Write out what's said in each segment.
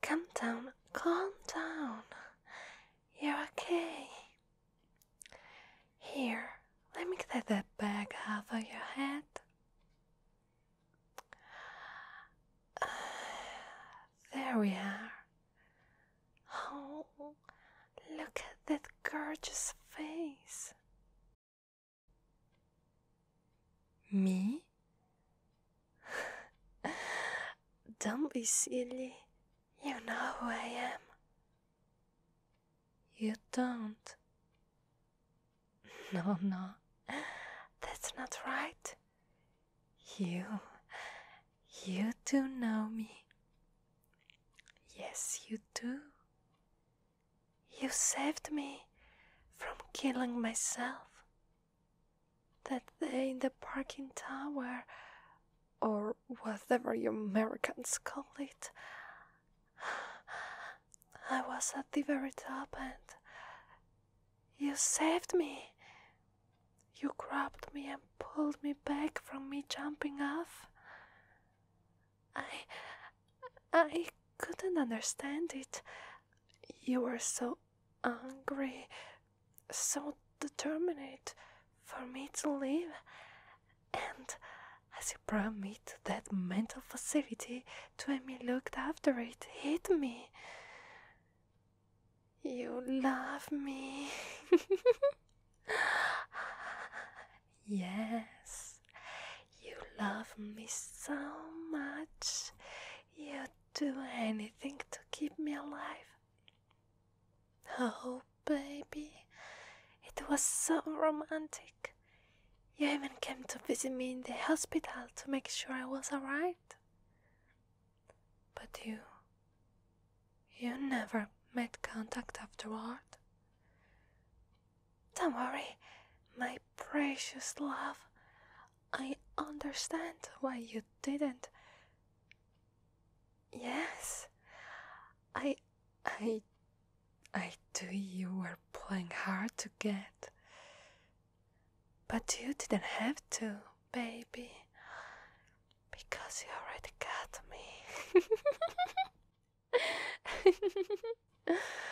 Come down, calm down. You're okay. Here, let me get that bag out of your head. There we are. Oh, look at that gorgeous face. Me? Don't be silly. You know who I am. You don't. No, no. That's not right. You, you do know me. Yes, you do. You saved me from killing myself. That day in the parking tower, or whatever you Americans call it, I was at the very top and you saved me. You grabbed me and pulled me back from me jumping off. I. I couldn't understand it. You were so angry, so determined for me to leave. And as you promised that mental facility, Twemmy looked after it, hit me. You love me. yes, you love me so much. You'd do anything to keep me alive. Oh, baby, it was so romantic. You even came to visit me in the hospital to make sure I was alright. But you. You never made contact afterward? Don't worry, my precious love. I understand why you didn't. Yes, I. I. I do you were playing hard to get. But you didn't have to, baby, because you already got me.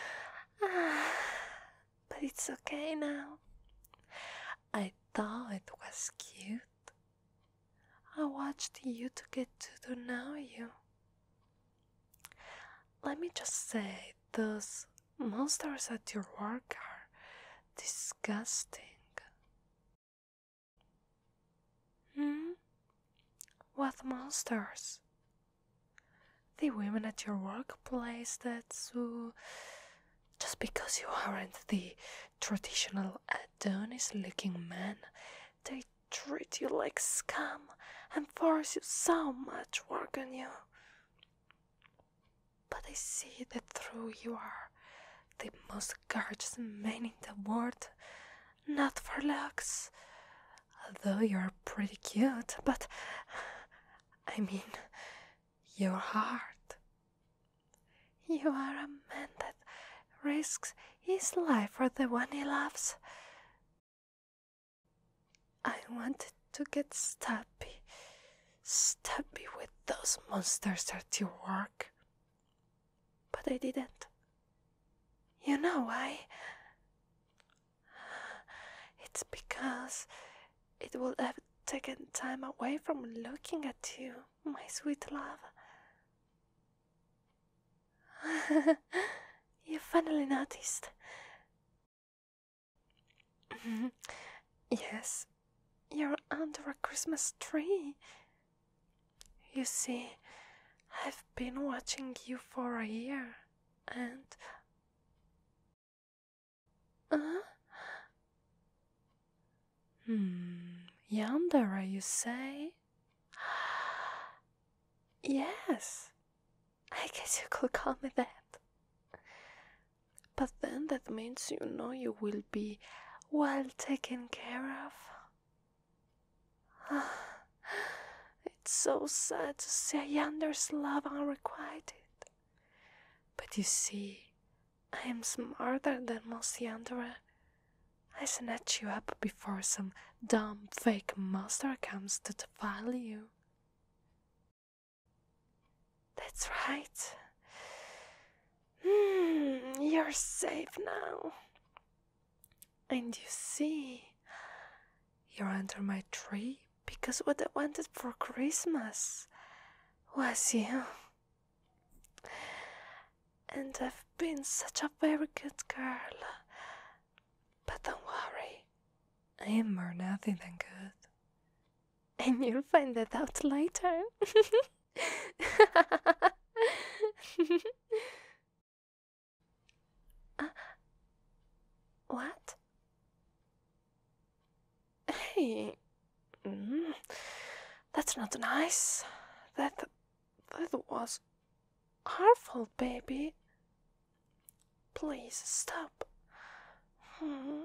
but it's okay now. I thought it was cute. I watched you to get to know you. Let me just say, those Monsters at your work are disgusting. Hmm? What monsters? The women at your workplace That's who. just because you aren't the traditional Adonis looking man, they treat you like scum and force you so much work on you. But I see that through you are the most gorgeous man in the world. Not for looks, although you're pretty cute, but I mean your heart. You are a man that risks his life for the one he loves. I wanted to get stabby, stabby with those monsters at your work. But I didn't. You know why? It's because it would have taken time away from looking at you, my sweet love. you finally noticed. yes, you're under a Christmas tree. You see, I've been watching you for a year and. Uh? Hmm, yonder, you say? yes, I guess you could call me that. But then that means you know you will be well taken care of. it's so sad to see a yonder's love unrequited. But you see, I am smarter than most yonder. I snatch you up before some dumb fake monster comes to defile you. That's right. Hmm, you're safe now. And you see, you're under my tree because what I wanted for Christmas was you. And I've been such a very good girl but don't worry, I am more naughty than good. And you'll find that out later. Uh, what? Hey, mm-hmm. that's not nice. That that was our fault, baby. Please stop. Hmm.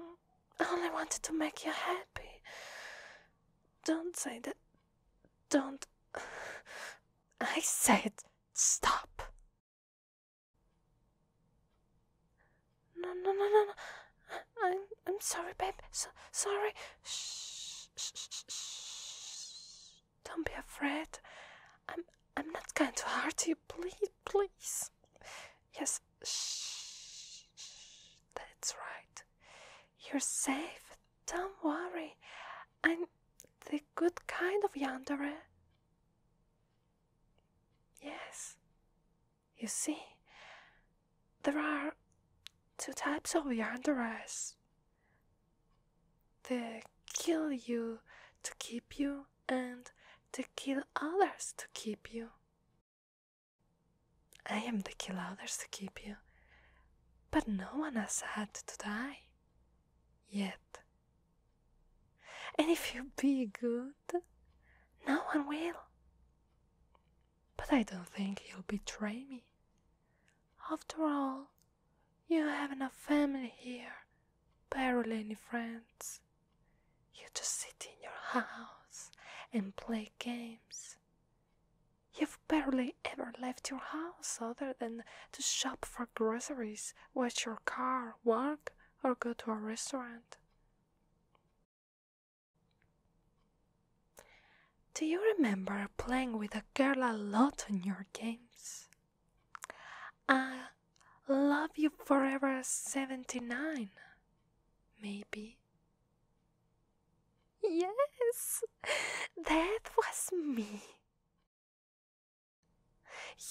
I only wanted to make you happy. Don't say that. Don't. I said stop. No, no, no, no, no. I'm, I'm sorry, babe. So, sorry. Shh, shh, shh, shh. Don't be afraid. I'm I'm not going to hurt you. Please, please. Yes. Shh, shh. That's right. You're safe. Don't worry. I'm the good kind of yandere. Eh? Yes. You see, there are two types of yanderes. They kill you to keep you, and they kill others to keep you. I am the kill others to keep you, but no one has had to die yet. And if you be good, no one will. But I don't think he will betray me. After all, you have no family here, barely any friends. You just sit in your house and play games. You've barely ever left your house other than to shop for groceries, wash your car, work, or go to a restaurant. Do you remember playing with a girl a lot in your games? I love you forever 79, maybe. Yes, that was me.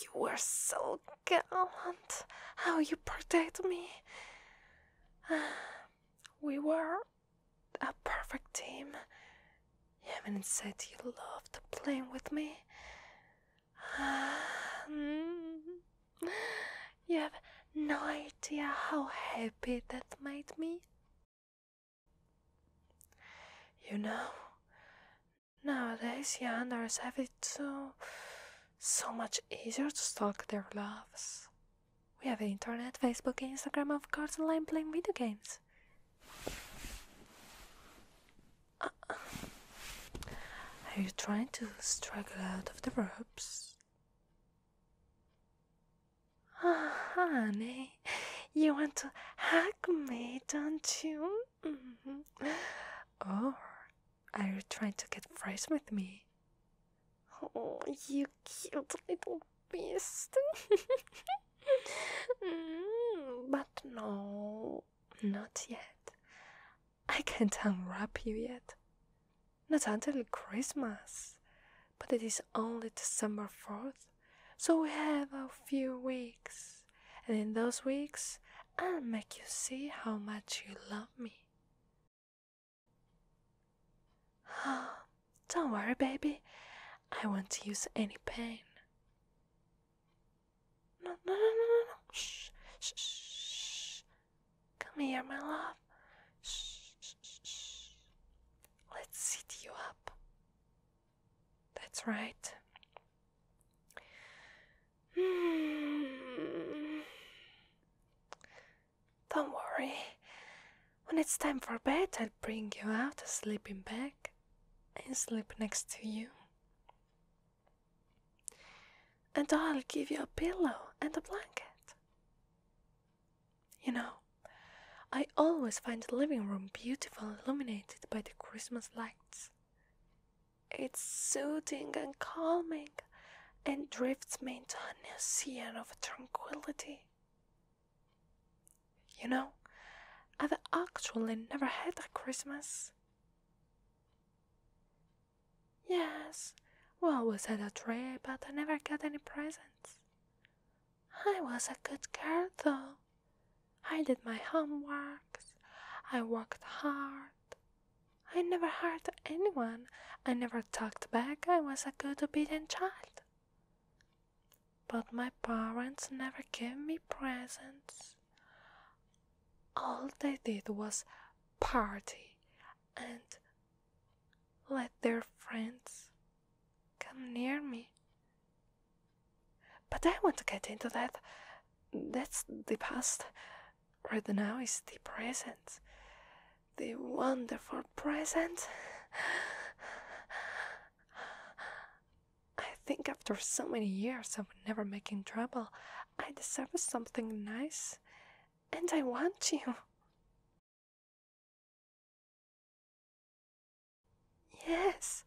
You were so gallant how you protected me. We were a perfect team. You even said you loved playing with me. Hmm. you have no idea how happy that made me. You know, nowadays yanders have it so, so much easier to stalk their loves. We have internet, Facebook, Instagram, of course, online playing video games are you trying to struggle out of the ropes? Oh, honey, you want to hug me, don't you? Mm-hmm. Or are you trying to get fresh with me? Oh, you cute little beast. mm, but no, not yet. I can't unwrap you yet. Not until Christmas. But it is only December 4th, so we have a few weeks. And in those weeks, I'll make you see how much you love me. don't worry, baby. I won't use any pain. No, no, no, no, no, no. Shh, shh, shh. Come here, my love. Shh, shh, shh. Let's sit you up. That's right. Hmm. Don't worry. When it's time for bed, I'll bring you out a sleeping bag and sleep next to you. And I'll give you a pillow and a blanket. You know, I always find the living room beautiful illuminated by the Christmas lights. It's soothing and calming and drifts me into a new ocean of tranquility. You know, I've actually never had a Christmas. Yes, we always had a tree, but I never got any presents. I was a good girl, though. I did my homeworks. I worked hard. I never hurt anyone. I never talked back. I was a good, obedient child. But my parents never gave me presents. All they did was party and let their friends come near me. But I won't get into that. That's the past. Right now is the present the wonderful present. I think after so many years of never making trouble, I deserve something nice, and I want you. Yes,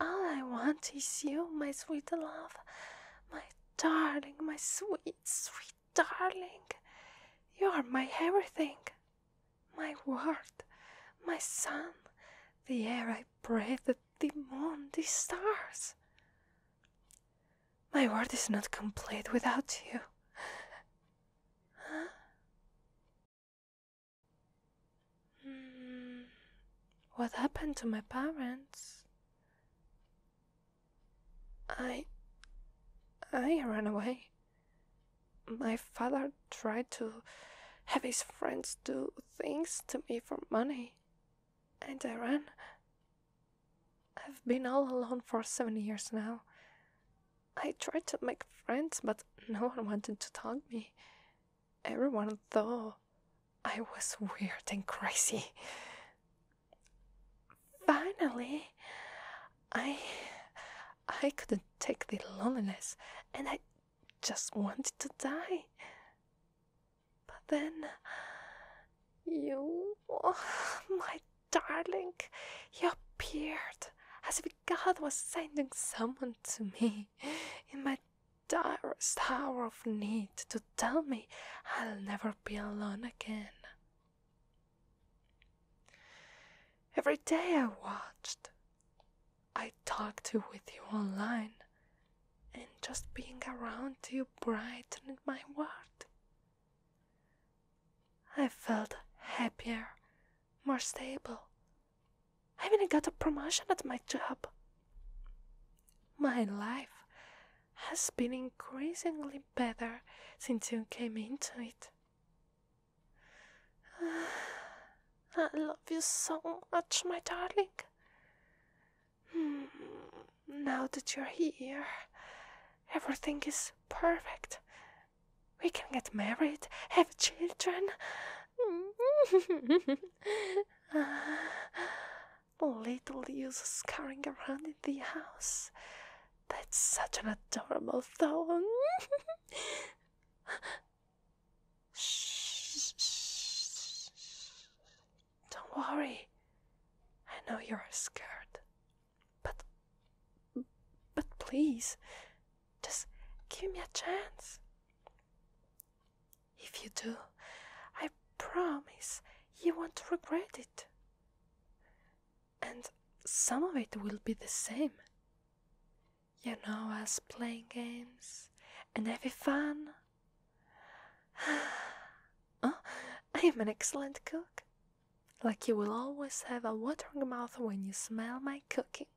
all I want is you, my sweet love, my darling, my sweet, sweet darling, you are my everything, my world, my sun, the air I breathe, the moon, the stars. My world is not complete without you. Huh? Hmm. what happened to my parents? I. I ran away. My father tried to have his friends do things to me for money, and I ran. I've been all alone for seven years now. I tried to make friends, but no one wanted to talk to me. Everyone thought I was weird and crazy. Finally, I I couldn't take the loneliness and I just wanted to die. But then you, my darling, you appeared as if God was sending someone to me in my direst hour of need to tell me I'll never be alone again. Every day I watched, I talked to with you online, and just being around you brightened my world. I felt happier, more stable. I even got a promotion at my job. My life has been increasingly better since you came into it. I love you so much, my darling. Hmm, now that you're here, everything is perfect. We can get married, have children. Ah, Little use scurrying around in the house. That's such an adorable thong. shh, shh, shh. Don't worry. I know you're scared. But but please just give me a chance. If you do, I promise you won't regret it. And some of it will be the same. You know us playing games and having fun. oh, I am an excellent cook. Like you will always have a watering mouth when you smell my cooking.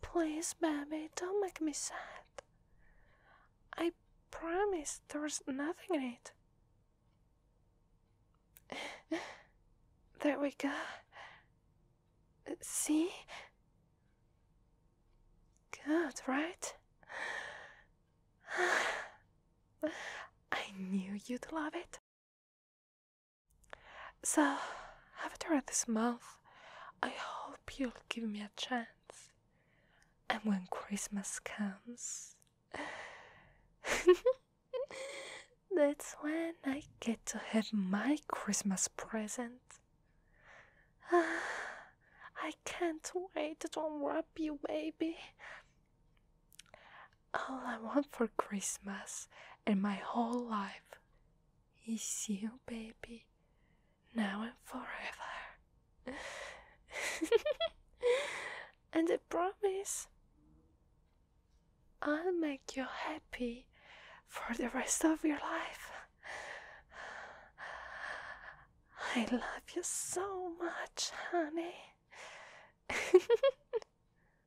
Please, baby, don't make me sad. I promise there's nothing in it. there we go. See? Good, right? I knew you'd love it it. So, after this month, I hope you'll give me a chance. And when Christmas comes, that's when I get to have my Christmas present. I can't wait to unwrap you, baby. All I want for Christmas and my whole life is you, baby, now and forever. and I promise I'll make you happy for the rest of your life. I love you so much, honey.